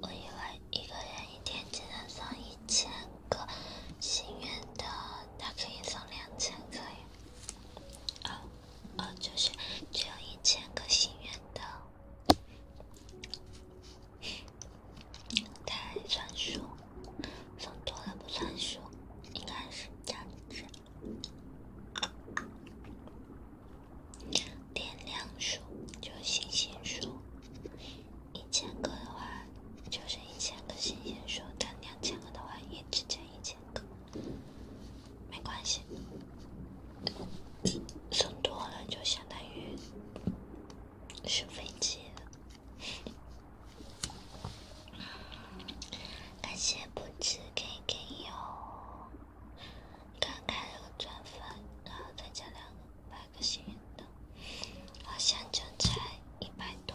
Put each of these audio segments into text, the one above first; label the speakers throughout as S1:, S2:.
S1: 我以为一个人一天只能送一千个心愿的，他可以送两千个呀。啊，啊，就是只有一千个心愿的，太算数，送多了不算数，应该是这样子。点亮数就星星数。一千个的话就是一千个星星数，但两千个的话也只加一千个，没关系，送多了就相当于是飞机了。感谢不吃给给哟，刚开了个钻粉，然后再加两个。一个幸运豆，好像就差一百多，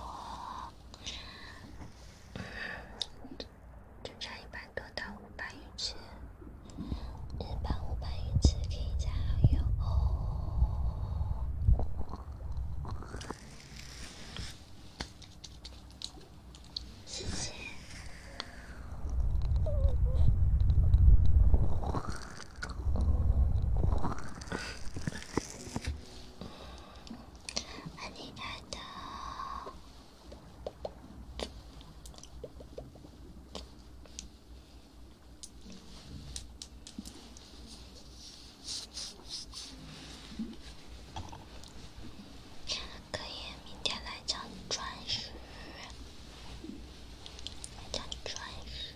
S1: 就差一百多到五百余次，一百五百余次可以加好友哦，谢谢。可以，明天来讲专属，来讲专属。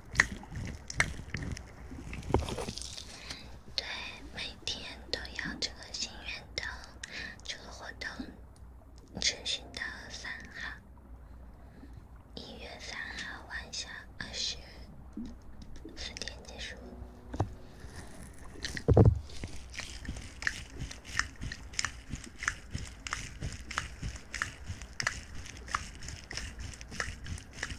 S1: 对，每天都要这个心愿灯这个活动持续到三号，一月三号晚上二十四点结束。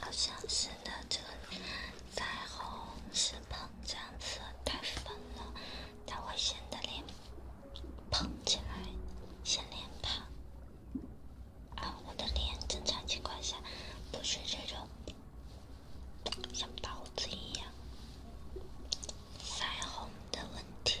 S1: 好像是的，这个腮红是膨胀色，太粉了，它会显得脸胖起来，显脸胖。啊，我的脸正常情况下不是这种，像包子一样，腮红的问题。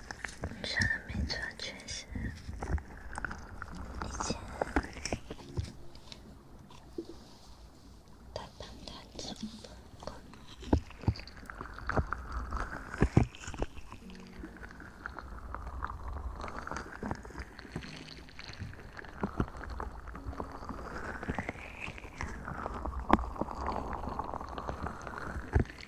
S1: 你说的没错，确实，以前，哒哒哒哒哒。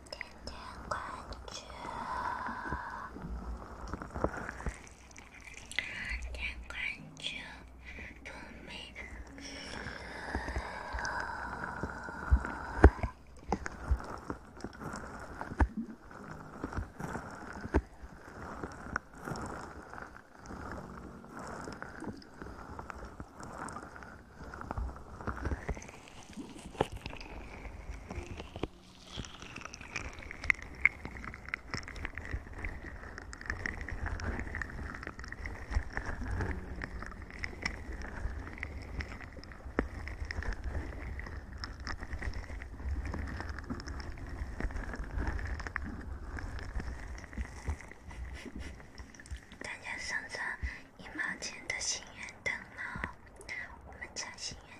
S1: 点点关注，点关注不迷路。大家送上一毛钱的心愿灯哦，我们家心愿。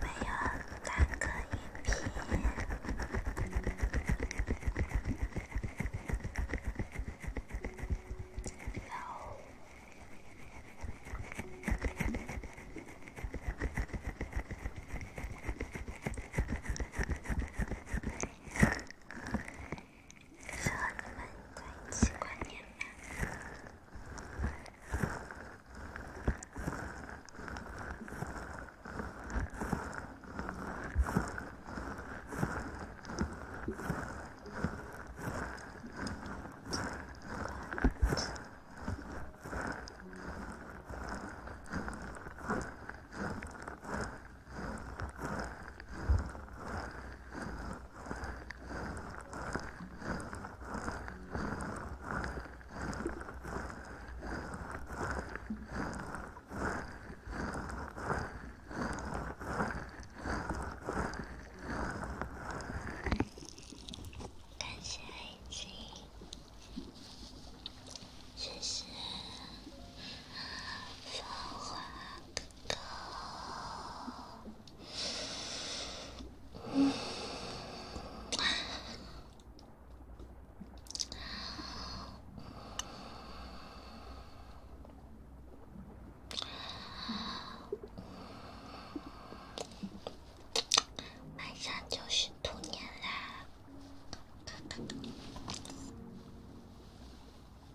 S1: 没有单个音频。有。是很闷，习惯点闷。感谢爱情，谢谢芳华哥。马上就是兔年啦！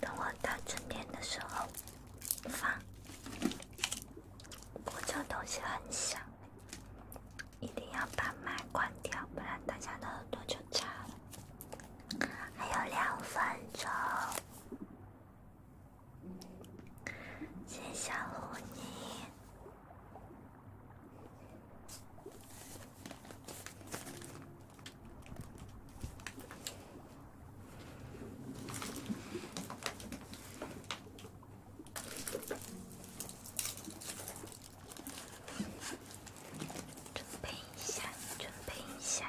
S1: 等我到春天的时候放，我这东西很小，一定要把麦关掉，不然大家的耳朵就炸了。还有两分钟。先吓唬你，准备一下，准备一下。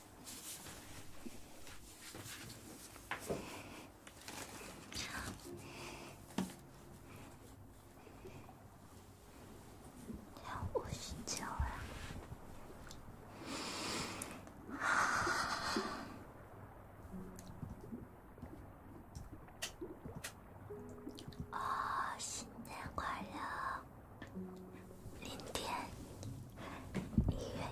S1: 要午休呀！啊，现在关了零点。音乐呀。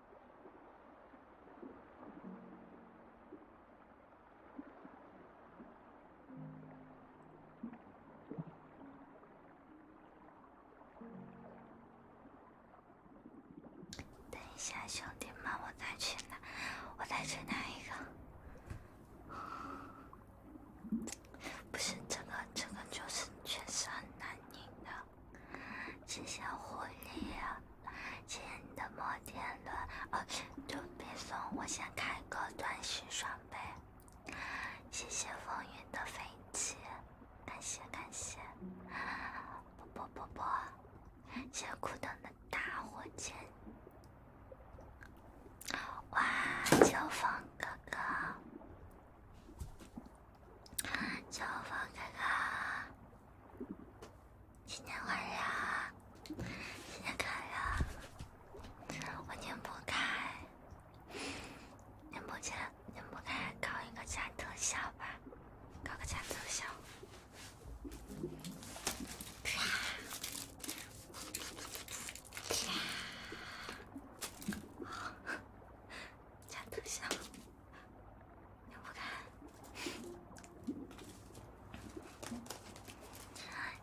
S1: 等一下，兄弟们，我再去拿，我再去拿一个。不是，这个这个就是确实很难赢的。谢谢狐狸，谢谢你的摩天轮哦！都别送，我想开个钻石双倍。谢谢风云的飞机，感谢感谢。伯伯伯伯，谢谢苦等的大火箭。哇！秋风哥哥，秋风哥哥。今天晚上，今天开呀，我拧不开，拧不开，拧不开，搞一个加特效吧，搞个加特效，啪，加特效。打不开，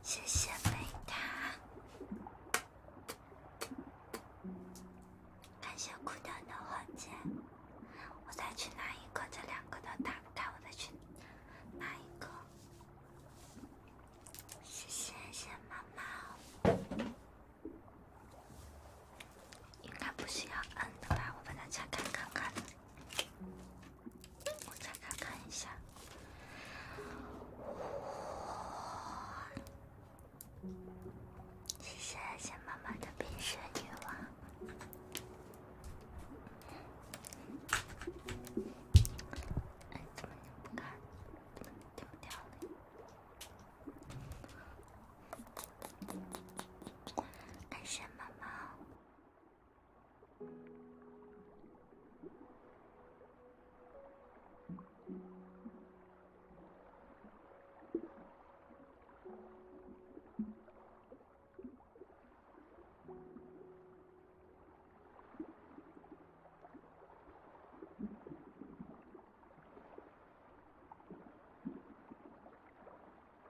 S1: 谢谢贝塔，感谢孤单的火箭，我再去拿一个，这两个都打不开，我再去拿一个，谢谢，谢谢妈妈。应该不需要按的吧？我把它拆开看看。我拆开看一下。哇！谢谢妈妈的冰雪女王。哎，怎么又不开了？丢掉了。感谢妈妈。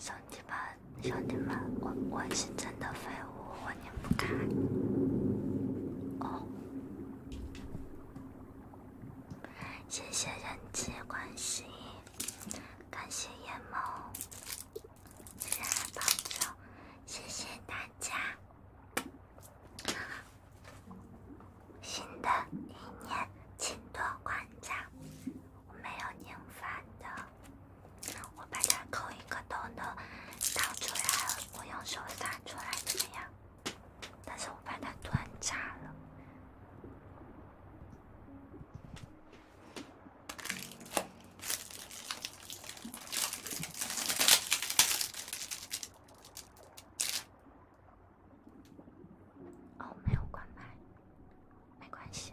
S1: 兄弟们，兄弟们，我我是真的废物，我拧不开。哦。谢谢人际关系，感谢叶猫，谢谢朋友，谢谢大家。新的一年，请多关照。我没有拧反的，我把它扣一个洞洞倒出来，我用手撒出来，怎么样？但是我把它断炸了。哦，没有关麦，没关系。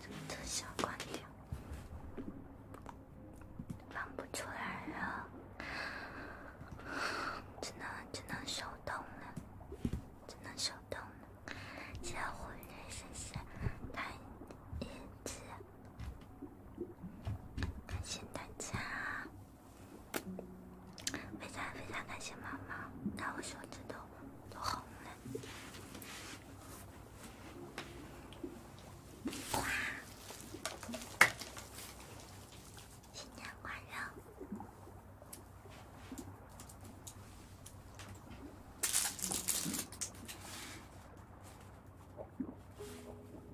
S1: 这个特效关掉，放不出来了，只能只能手动了，只能手动了。谢谢蝴蝶神仙，太英气，感谢大家，非常非常感谢妈妈，让我手指头。都好呢。哇！新年快乐！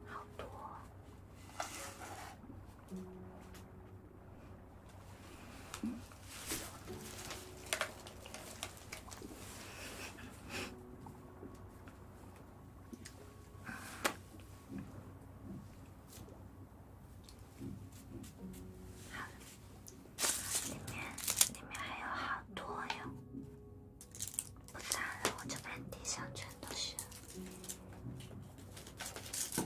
S1: 好多。好了，里面里面还有好多哟，不脏了，我这边地上全都是。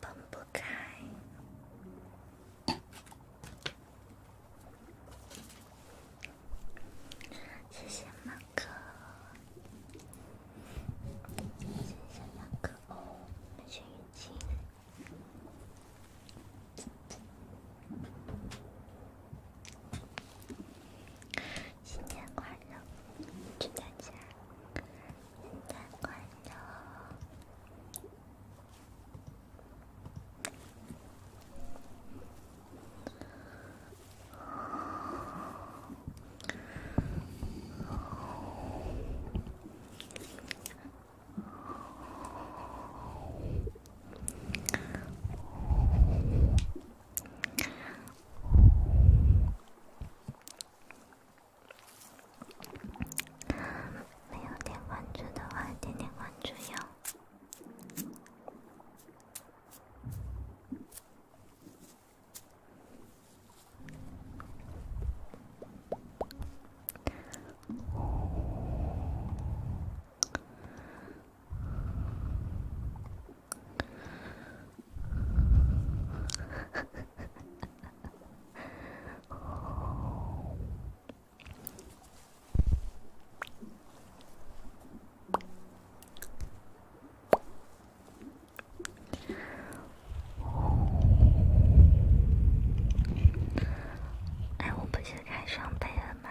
S1: 分不开。谢谢马克，谢谢马克哦，感谢雨晴。新年快乐，祝大家！新年快乐。没有点关注的话，点点关注哟。哎，我不是开双倍了吗？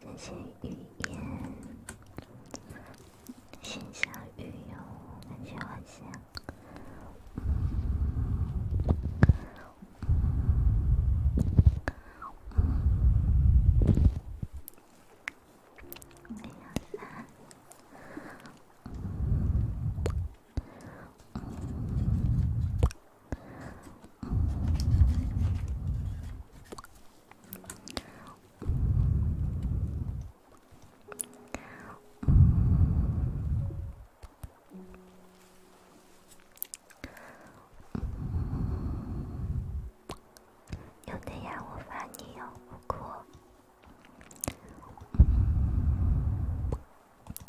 S1: 这些语言，形象语言，感觉很像。没有了。有的呀，我发你哟，不过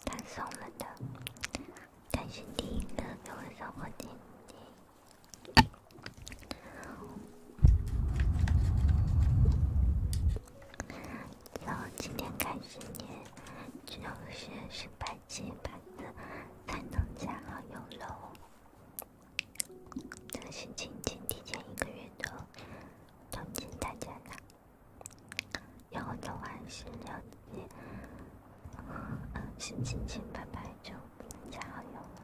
S1: 他送了的。开始，第一个送怪点，从今天开始，你就是失败几次才能加好友喽？这事情仅提前一个月的通知大家的，然后的话是了解。嗯，是亲亲拜拜，就不能加好友了。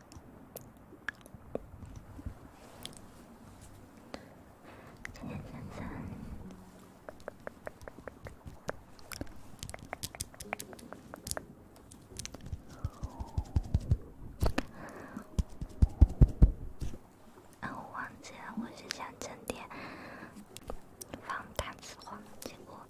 S1: 天蓝色。我忘记了，我是想整点防弹字画，结果。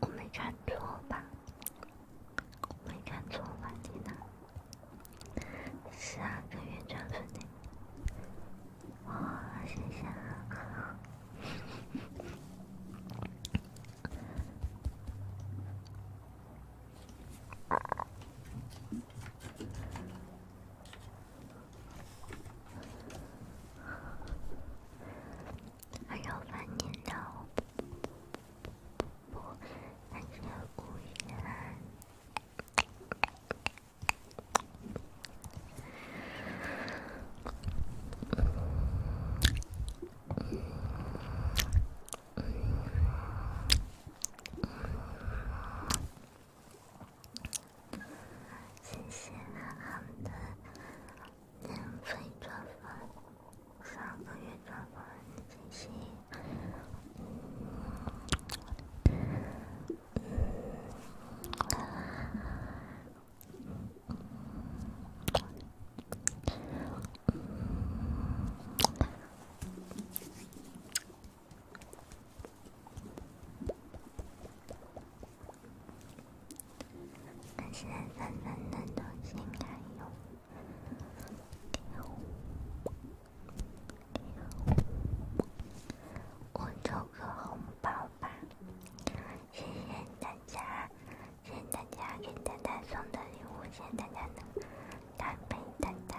S1: 我没看错吧？没看错吧，蒂娜？是啊，跟原装粉的。哇，谢谢啊！还有半年的，还有五天。谢谢好的，免费转发，上个月转发的信息。嗯。现在弹弹的东西还有，我抽个红包吧！谢谢大家，谢谢大家给蛋蛋送的礼物，谢谢大家的，大白蛋蛋。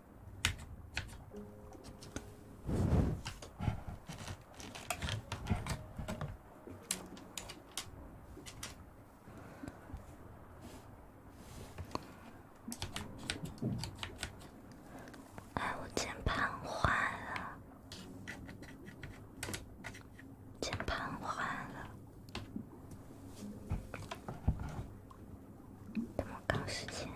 S1: 哎，我键盘坏了，键盘坏了。怎么搞时间？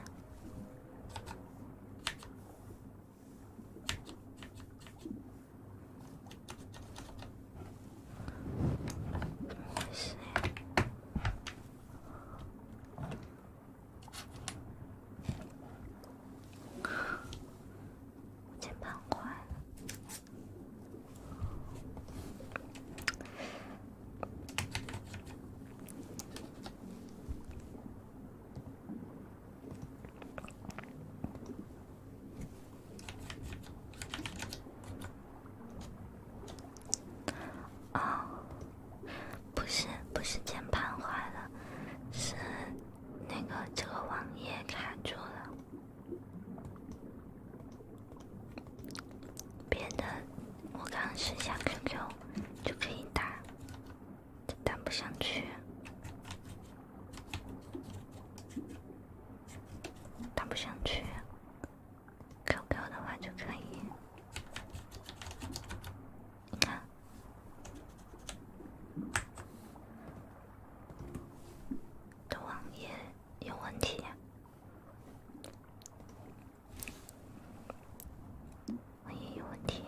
S1: 事呀，键盘坏了。哦，不是，不是键盘坏了，是那个这个网页卡住了，别的。我刚试下 QQ，就可以打，但打不上去，打不上去。QQ 的话就可以，你看，的网页有问题。我也有问题。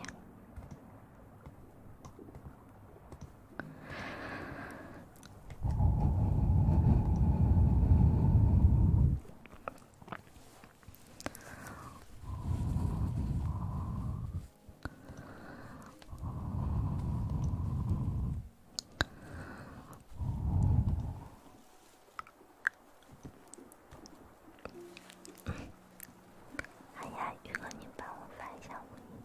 S1: 哎呀，宇哥，您帮我发一下五音。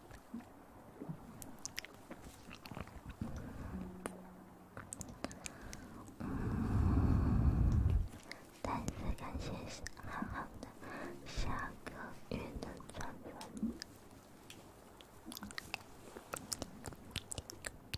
S1: 再次感谢浩浩的下个月的转粉。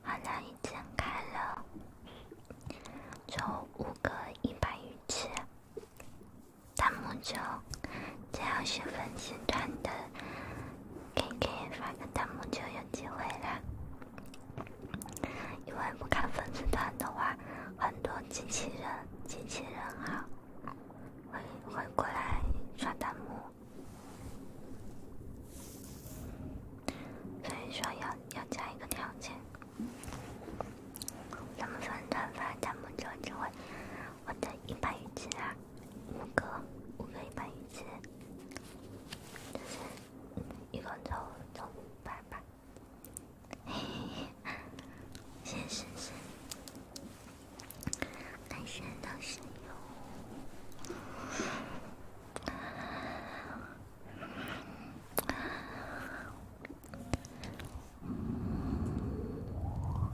S1: 好，那已经开了，就五个一百元钱。弹幕就只要是粉丝团的，可以给发个弹幕就有机会啦。因为不看粉丝团的话，很多机器人、机器人哈，会会过来刷弹幕，所以说要要加一个条件，咱们粉团发弹幕就就会。我的一百元钱啊，五个，五个一百元钱，就是一共凑凑五百吧。嘿嘿嘿，先生是，男生都是有。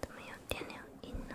S1: 怎么有电流音呢？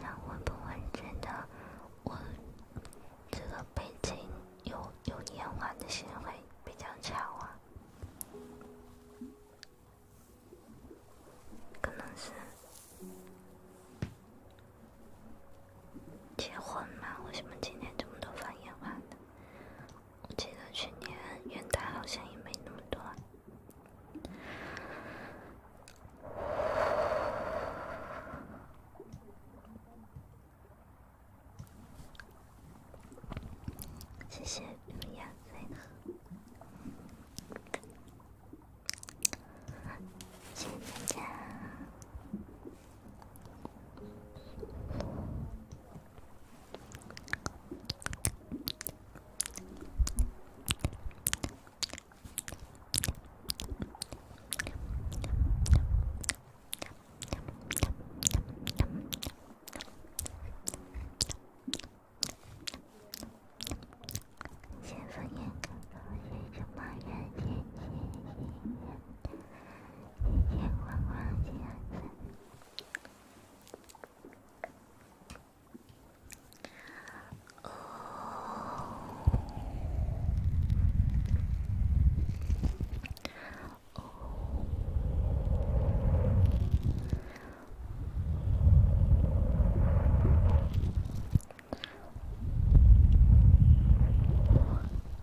S1: 那会不会觉得我这个背景有有烟花的行为比较巧啊？可能是。结婚吗？为什么今年这么多放烟我记得去年元旦好像也没那么多。谢谢乌鸦在谢谢大家。先放眼看，是什么人？天气阴阴的。夜夜昏昏，几案前。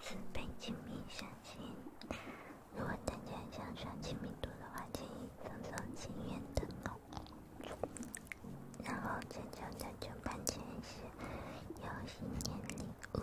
S1: 四倍亲密相亲，如果大家想刷亲密度的话，建议赠送情愿灯笼。然后这周的九班前是游戏年礼物。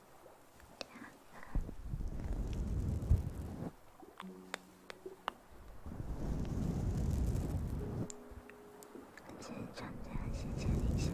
S1: 横钱长江，斜斜一线。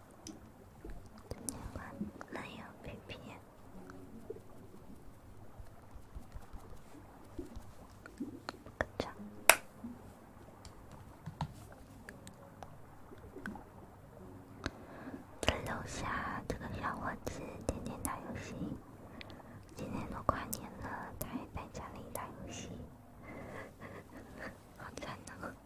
S1: 关，那楼下这个小伙子天天打游戏，今天都跨年了，他还在家里打游戏，好惨呢。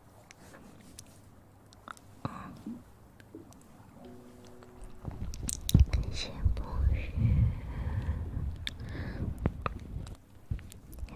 S1: 先不许，这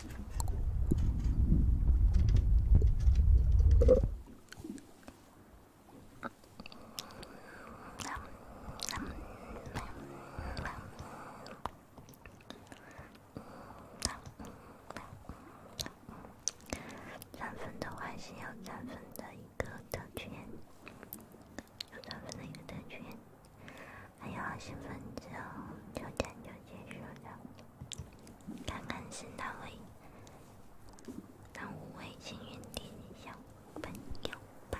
S1: 转粉的话，还是要转粉的一个特权，要转粉的一个特权。还有二十分钟，九点就结束了。看看是哪位，哪五位幸运点小朋友吧。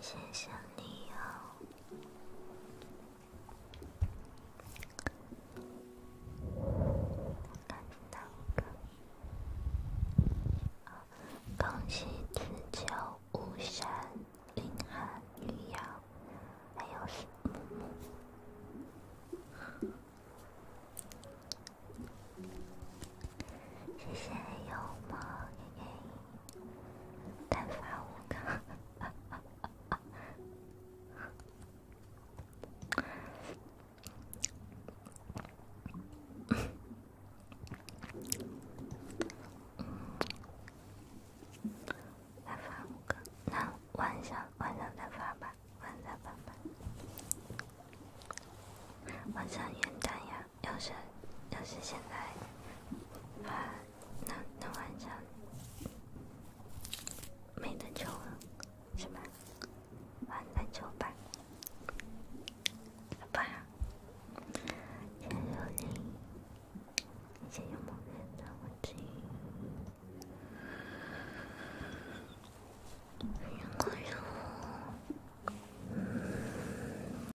S1: 谢谢小泥妖，看到个啊，康熙之娇巫山寒女妖，还有是，谢谢幽默嘿嘿。再发五个，再发五个。那晚上，晚上再发吧，晚上发吧，晚上元旦呀。要是要是现在，啊，那那晚上没得救了，是吧？晚上抽吧，好吧。加油，你先用毛巾，然后。